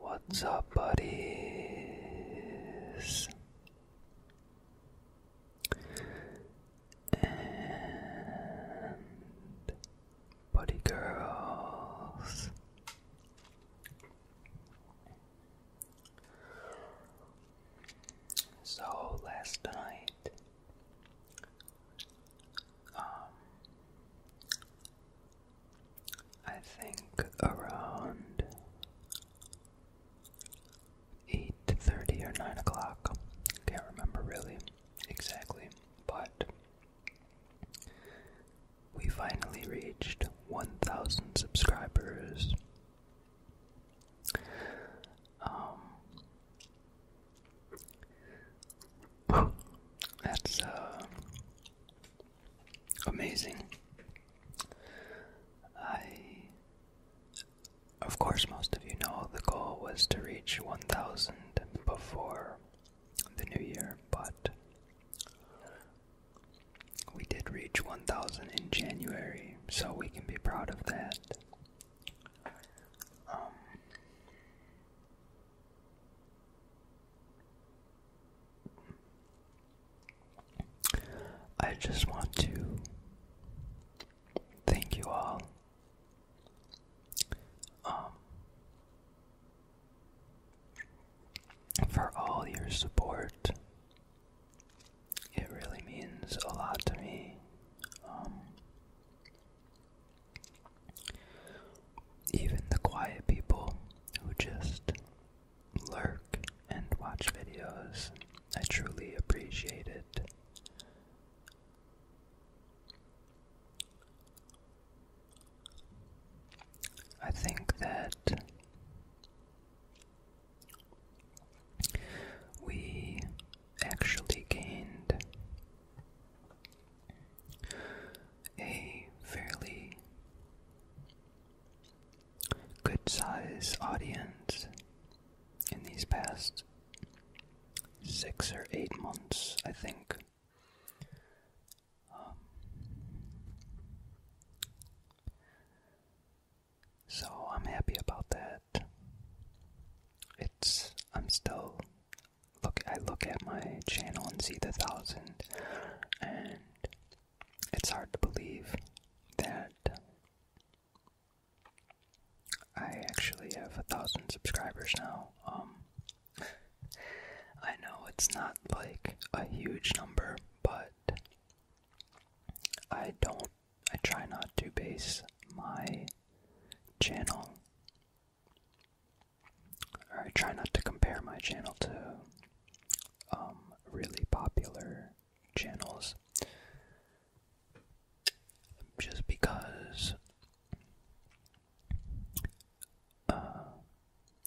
What's up, buddies? And buddy girls. So last night, um, I think around eight thirty or nine o'clock. Can't remember really exactly, but we finally reached one thousand subscribers. Um, That's uh, amazing. I, of course, most of you know the goal was to reach 1,000 before the new year, but we did reach 1,000 in January, so we can be proud of that. Um, I just want to thank you all. Um, for all your support, it really means a lot to me. Um, even the quiet people who just lurk and watch videos, I truly appreciate it. I think that we actually gained a fairly good size audience in these past six or eight months, I think. Um, so I'm happy about that. It's, I'm still look I look at my channel and see the thousand and it's hard to believe that I actually have a thousand subscribers now. Um I know it's not like a huge number, but I don't I try not to base my channel I try not to compare my channel to um, really popular channels just because uh,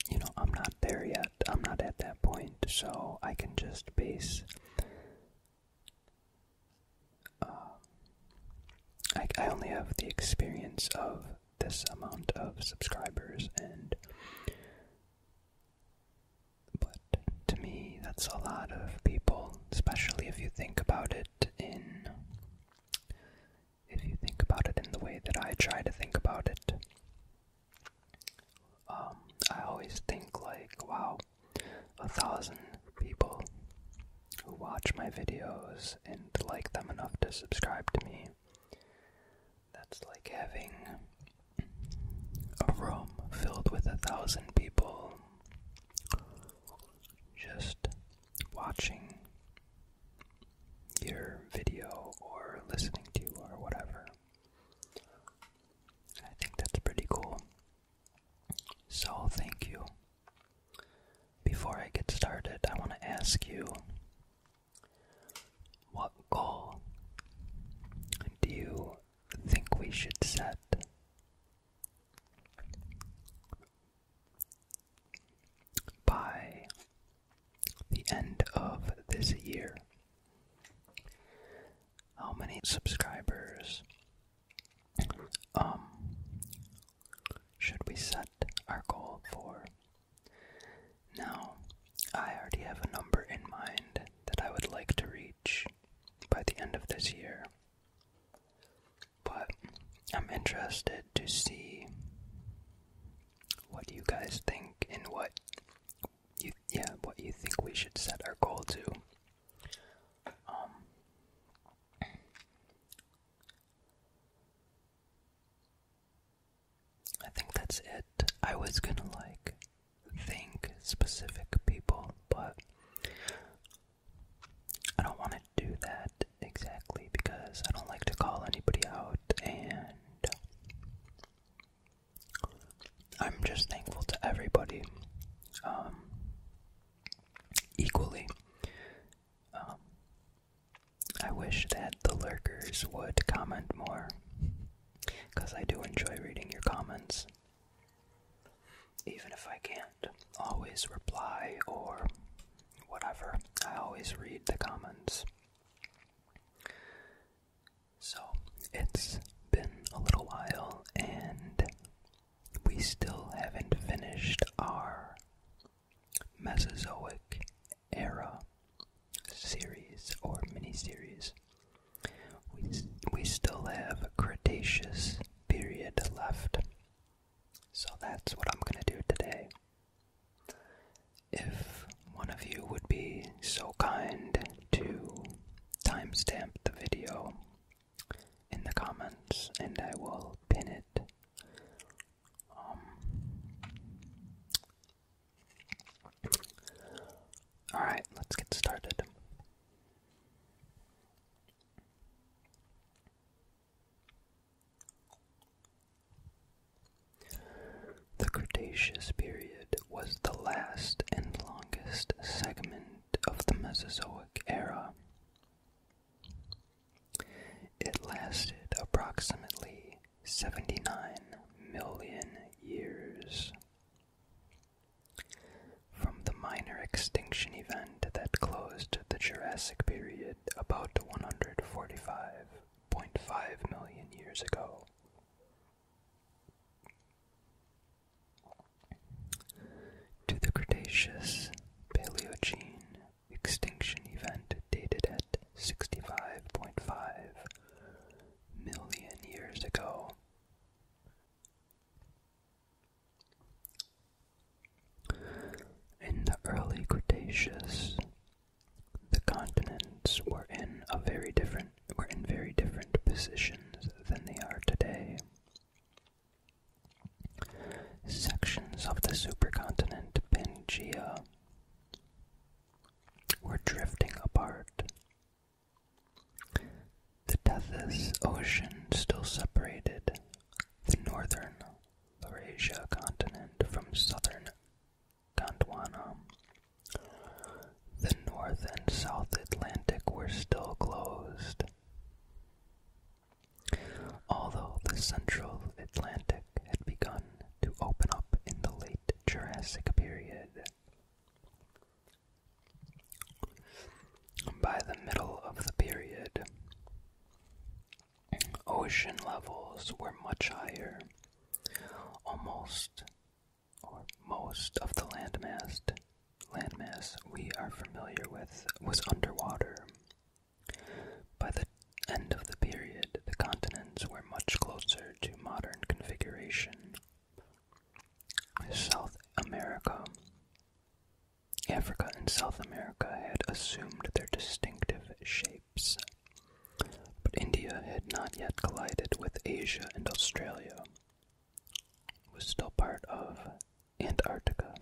you know I'm not there yet. I'm not at that point, so I can just base. Uh, I, I only have the experience of this amount of subscribers and but to me that's a lot of people especially if you think about it in if you think about it in the way that I try to think about it um I always think like wow a thousand people who watch my videos and like them enough to subscribe to me. That's like having a room filled with a thousand people just watching your video or listening to or whatever. I think that's pretty cool. So, thank you before I get started, I want to ask you what goal do you think we should set? By the end of this year, how many subscribers um, should we set our goal for? Now, I already have a number in mind that I would like to reach by the end of this year. But I'm interested to see what you guys think and what you yeah, what you think we should set our goal to. Um, I think that's it. I was gonna like think specific people, but I don't want to do that exactly because I don't like to call anybody out, and I'm just thankful to everybody um, equally. Um, I wish that the lurkers would comment more, because I do enjoy reading your comments. Even if I can't always reply or whatever, I always read the comments. So, it's been a little while, and we still haven't finished our Mesozoic era series or miniseries. We, we still have a Cretaceous period left. So that's what I'm going to do today. If one of you would be so kind to timestamp the video in the comments, and I will pin it um, all right, let's get started. The Cretaceous period was the last and longest segment of the Mesozoic era. It lasted approximately 79 million years. From the minor extinction event that closed the Jurassic period about 145.5 million years ago, to the Cretaceous Paleogene extinction event dated at 65.5 million years ago. In the early Cretaceous, the continents were in a very different were in very different positions than they are today. Sections of the supercontinent Pangea were drifting apart. The Tethys Ocean still separated the northern Laurasia continent from southern Gondwana. The North and South Atlantic were still closed. Although the central Atlantic had begun to open up in the late Jurassic period, by the middle of the period, ocean levels were much higher. Almost or most of the landmass landmass we are familiar with was underwater. By the end of the period, the continents were much closer to modern configuration. South America, Africa, and South America had assumed their distinctive shapes, but India had not yet collided with Asia and Australia. It was still part of Antarctica.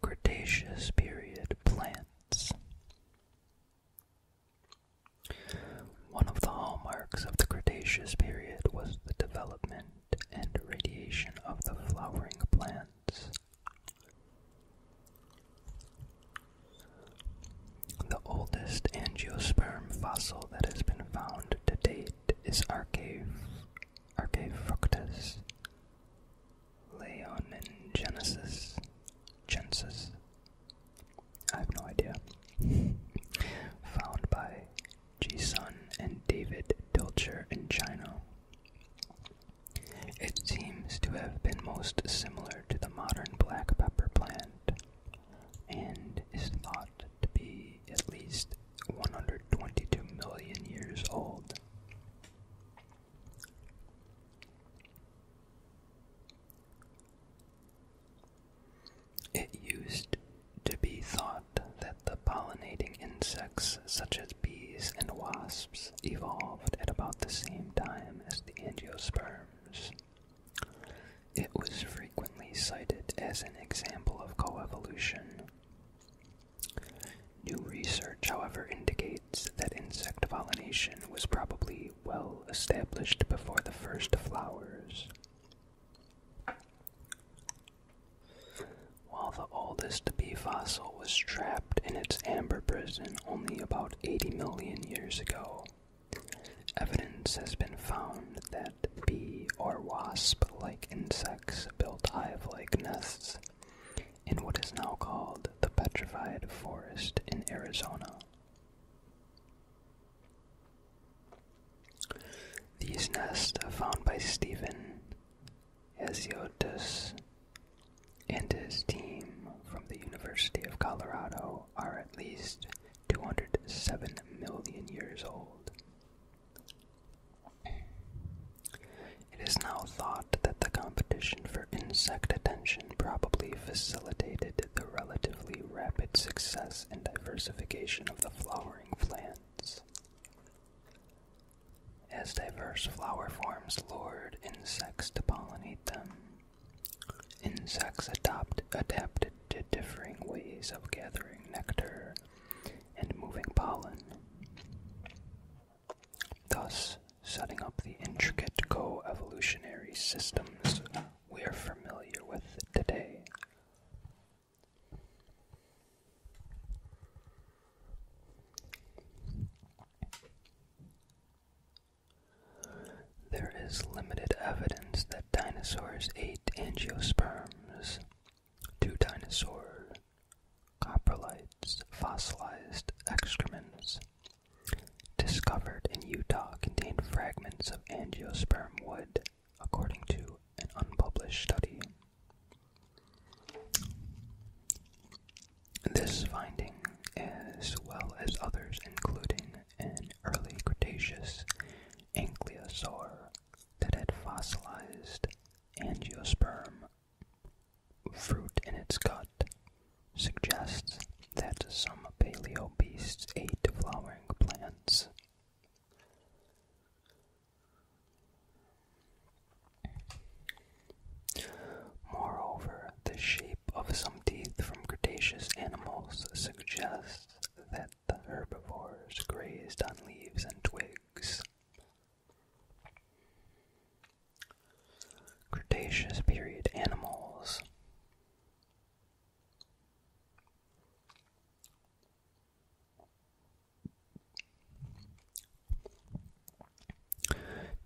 Cretaceous period plants. One of the hallmarks of the Cretaceous period was the development and radiation of the flowering plants. The oldest angiosperm fossil that has been found to date is Archae, Archaefructus leoningensis gensis. I have no idea. found by Jisun and David Dilcher in China. It seems to have been most similar to the modern black pepper plant, and is thought to be at least 122 million years old. It used to be thought that the pollinating insects, such as bees and wasps, evolved at about the same time as the angiosperms. It was frequently cited as an example of coevolution. New research, however, indicates that insect pollination was probably well established before the first flowers. While the oldest bee fossil was trapped in its amber prison only about 80 million years ago, Evidence has been found that bee or wasp like insects built hive like nests in what is now called the Petrified Forest in Arizona. These nests are found by Stephen Hesiotis and his team from the University of Colorado are at least 207 million years old. It is now thought that the competition for insect attention probably facilitated the relatively rapid success and diversification of the flowering plants. As diverse flower forms lured insects to pollinate them, Insects adapted to differing ways of gathering nectar and moving pollen, thus setting up the intricate co-evolutionary systems we are familiar with today. There is limited evidence that dinosaurs ate angiosperms. Two dinosaur coprolites, fossilized excrements discovered in Utah contained fragments of angiosperm wood, according to an unpublished study. This finding, as well as others, including and early Cretaceous ankylosaur that had fossilized angiosperm fruit in its gut suggests that some paleo beasts ate flowering plants. Moreover, the shape of some teeth from Cretaceous animals suggests that the herbivores grazed on leaves and twigs. Cretaceous period animals.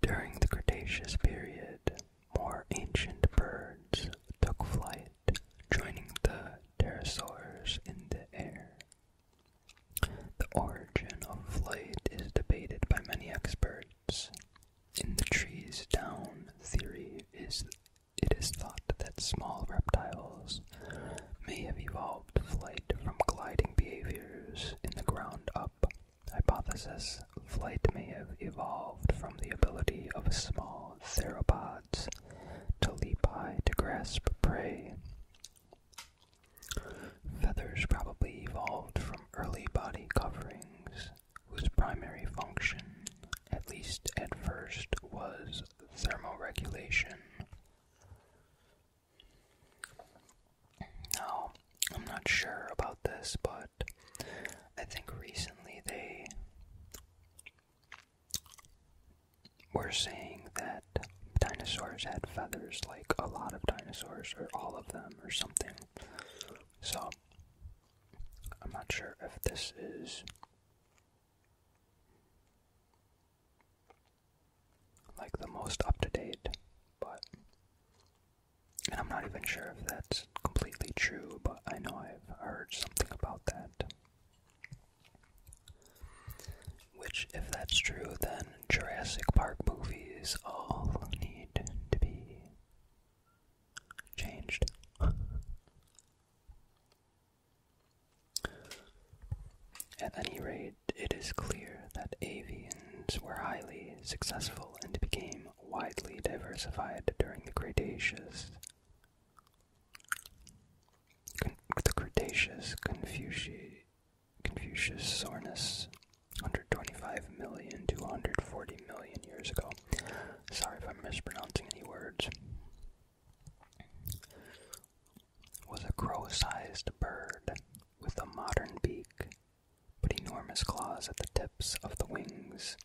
During the Cretaceous period, more ancient birds took flight, joining the pterosaurs in the air. The origin of flight is debated by many experts. In the trees down theory is it is thought that small reptiles may have evolved flight from gliding behaviors in the ground up hypothesis. Flight may have evolved from the ability of small theropods to leap high to grasp prey. Feathers probably evolved from early body coverings, whose primary function, at least at first, was thermoregulation. Now, I'm not sure about this, but I think recently they we're saying that dinosaurs had feathers, like a lot of dinosaurs, or all of them, or something. So, I'm not sure if this is like the most up to date, but. And I'm not even sure if that's completely true, but I know I've heard something about that. Which, if that's true, then Jurassic Park movies all need to be changed. At any rate, it is clear that avians were highly successful and became widely diversified during the Cretaceous Con the Cretaceous Confuci Confucius Sornus, to 140 million years ago. Sorry if I'm mispronouncing any words. Was a crow sized bird with a modern beak, but enormous claws at the tips of the wings.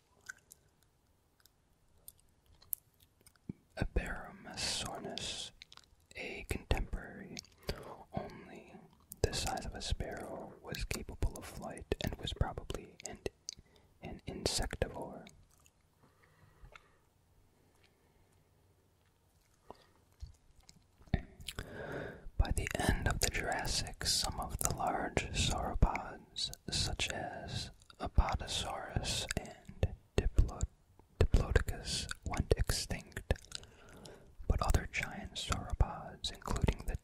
Aberomyssornis, a contemporary, only the size of a sparrow, was capable of flight and was probably an insectivore. By the end of the Jurassic, some of the large sauropods, such as Apatosaurus and Diplodocus went extinct, but other giant sauropods, including the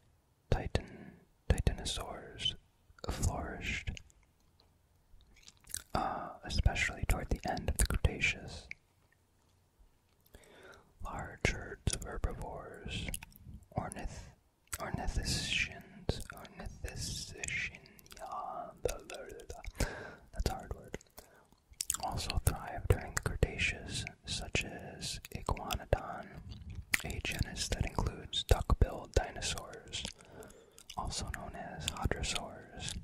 Titan titanosaurs, flourished, uh, especially toward the end of the Cretaceous. Large herds of herbivores, ornith Ornithischians, ornithischian, that's a hard word, also thrived during the Cretaceous, such as Iguanodon, a genus that includes duck-billed dinosaurs, also known as hadrosaurs,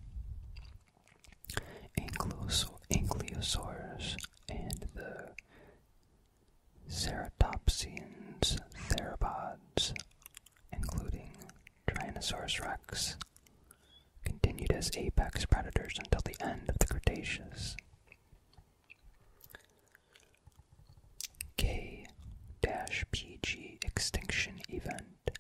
ankylosaurs, and the ceratopsians, theropods, including Tyrannosaurus rex, continued as apex predators until the end of the Cretaceous. K PG extinction event.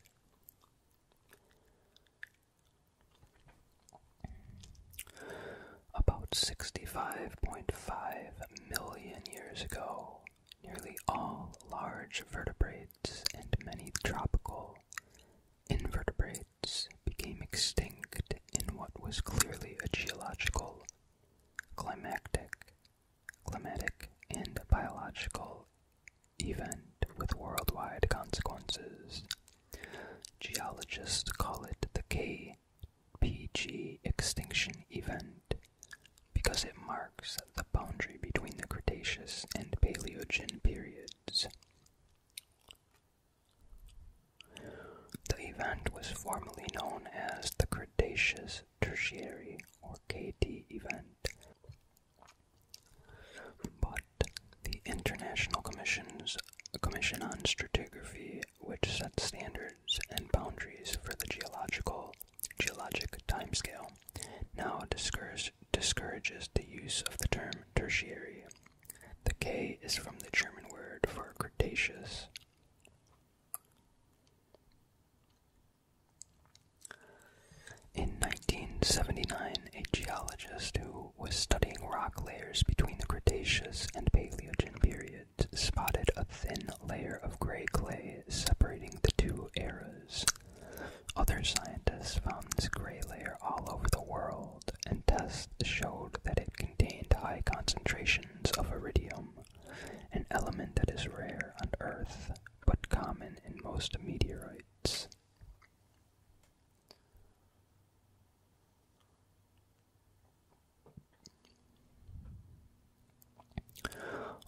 About 65.5 million years ago, nearly all large vertebrates and many tropical invertebrates became extinct in what was clearly a geological, climactic, climatic, and biological event with worldwide consequences. Geologists call it the K PG extinction event because it marks the boundary between the Cretaceous and Paleogene periods. The event was formerly known as the Cretaceous Tertiary or KT event, but the International Commission's Commission on Stratigraphy which sets standards and boundaries for the geological geologic timescale, now discourage, discourages the use of the term tertiary. The K is from the German word for Cretaceous. In 1979, a geologist who was studying rock layers between the Cretaceous and Paleogene period spotted a thin layer of gray clay separating the two eras. Other scientists found this gray layer all over the world, and tests showed that it contained high concentrations of iridium, an element that is rare on Earth but common in most meteorites.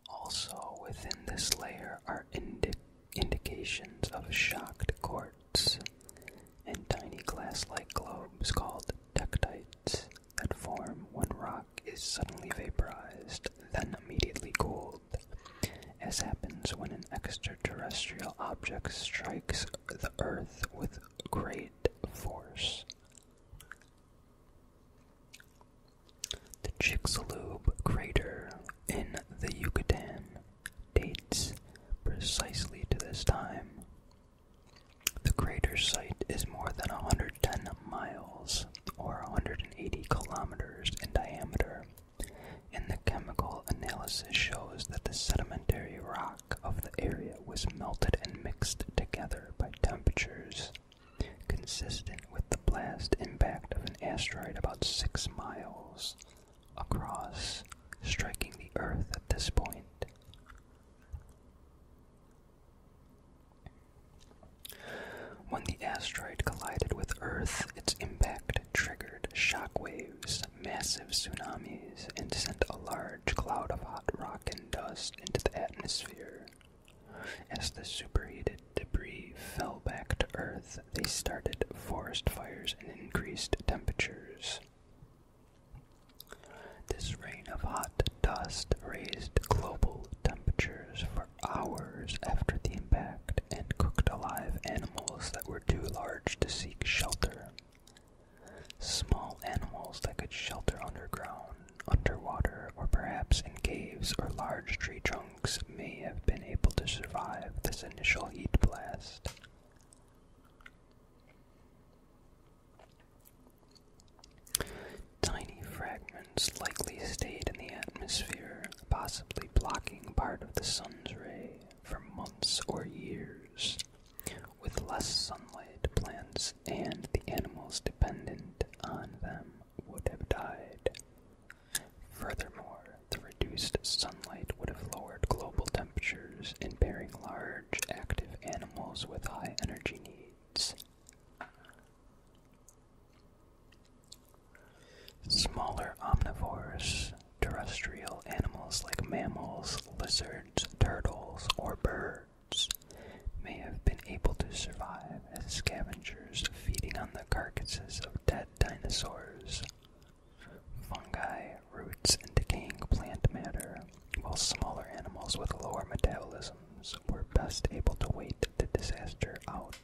Also within this layer are indications of shocked quartz and tiny glass-like globes called tectites that form when rock is suddenly vaporized, then immediately cooled, as happens when an extraterrestrial object strikes the Earth with great force. The Chicxulub crater in the Yucatan dates precisely to this time. The crater site is more than 110 miles or 180 kilometers in diameter, and the chemical analysis shows that the sedimentary rock of the area was melted and mixed together by temperatures consistent with the blast impact of an asteroid about six miles across, striking the Earth at this point. When the asteroid collided with Earth, its impact triggered shock waves, massive tsunamis, and sent a large cloud of hot rock and dust into the atmosphere. As the superheated debris fell back to Earth, they started forest fires and increased temperatures. This rain of hot dust raised global temperatures for hours after the impact and cooked alive animals that were too large to seek shelter. Small animals that could shelter underground underwater, or perhaps in caves or large tree trunks, may have been able to survive this initial heat blast. Tiny fragments likely stayed in the atmosphere, possibly blocking part of the sun's ray for months or years. With less sunlight, plants and the animals dependent on them would have died. Furthermore, the reduced sunlight would have lowered global temperatures, impairing large, active animals with high energy needs. Smaller omnivores, terrestrial animals like mammals, lizards, turtles, or birds may have been able to survive as scavengers feeding on the carcasses of dead dinosaurs. Fungi, roots, and decaying plant matter, while smaller animals with lower metabolisms were best able to wait the disaster out.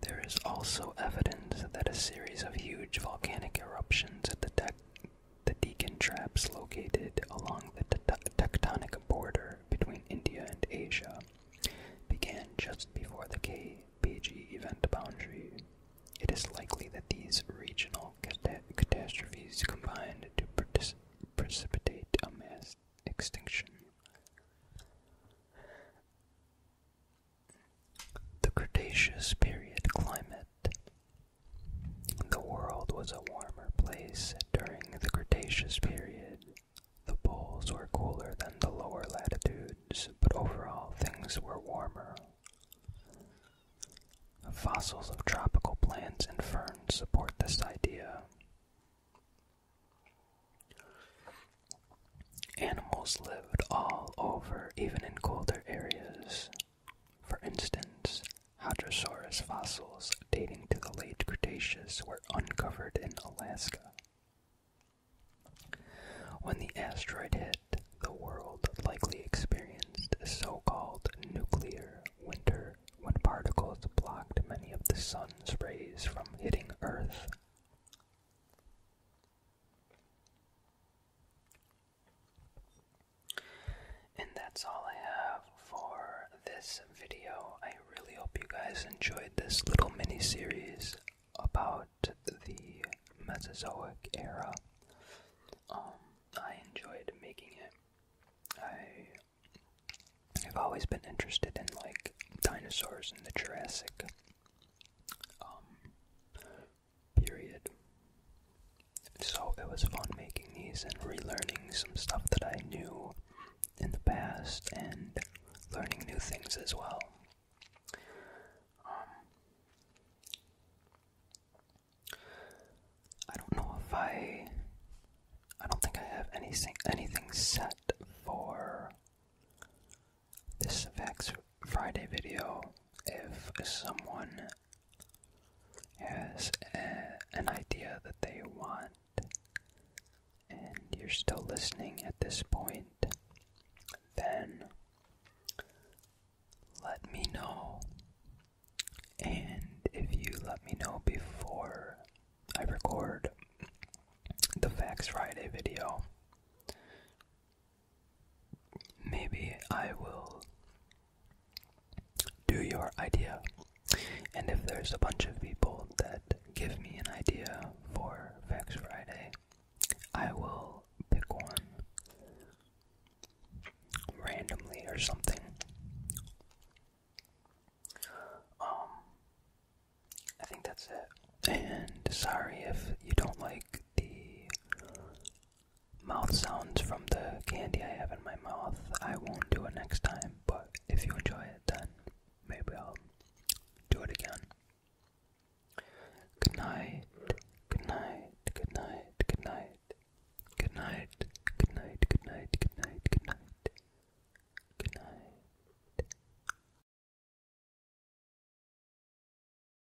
There is also evidence that a series of huge volcanic eruptions at the the Deccan traps located along the tectonic border between India and Asia began just before the K Pg event boundary. It is likely that these regional catastrophes combined to precipitate a mass extinction. The Cretaceous period climate. The world was a warmer place during the Cretaceous period. The poles were cooler than the lower latitudes, but overall things were warmer. Fossils of tropical plants and ferns support this idea. Animals lived all over, even in colder areas. For instance, Hadrosaurus fossils dating to the late Cretaceous were uncovered in Alaska. When the asteroid hit, the world likely experienced a so called nuclear winter when particles blocked many of the sun's rays from hitting Earth. And that's all I have for this video. I really hope you guys enjoyed this little mini series about the Mesozoic era. Um, I enjoyed making it. I have always been interested in like dinosaurs in the Jurassic um, period. So it was fun making these and relearning some stuff that I knew in the past and learning new things as well. Um, I don't know if I. I don't think I have anything anything set for this Vax Friday video if someone has an idea that they want and you're still listening at this point, then let me know. And if you let me know before I record the Facts Friday video, Maybe I will do your idea. And if there's a bunch of people that give me an idea for Vex Friday, I will pick one randomly or something. Um, I think that's it. And sorry if you don't like the mouth sounds from the candy I have in my mouth. I won't do it next time, but if you enjoy it, then maybe I'll do it again. Good night, good night, good night, good night, good night, good night, good night, good night, good night, good night.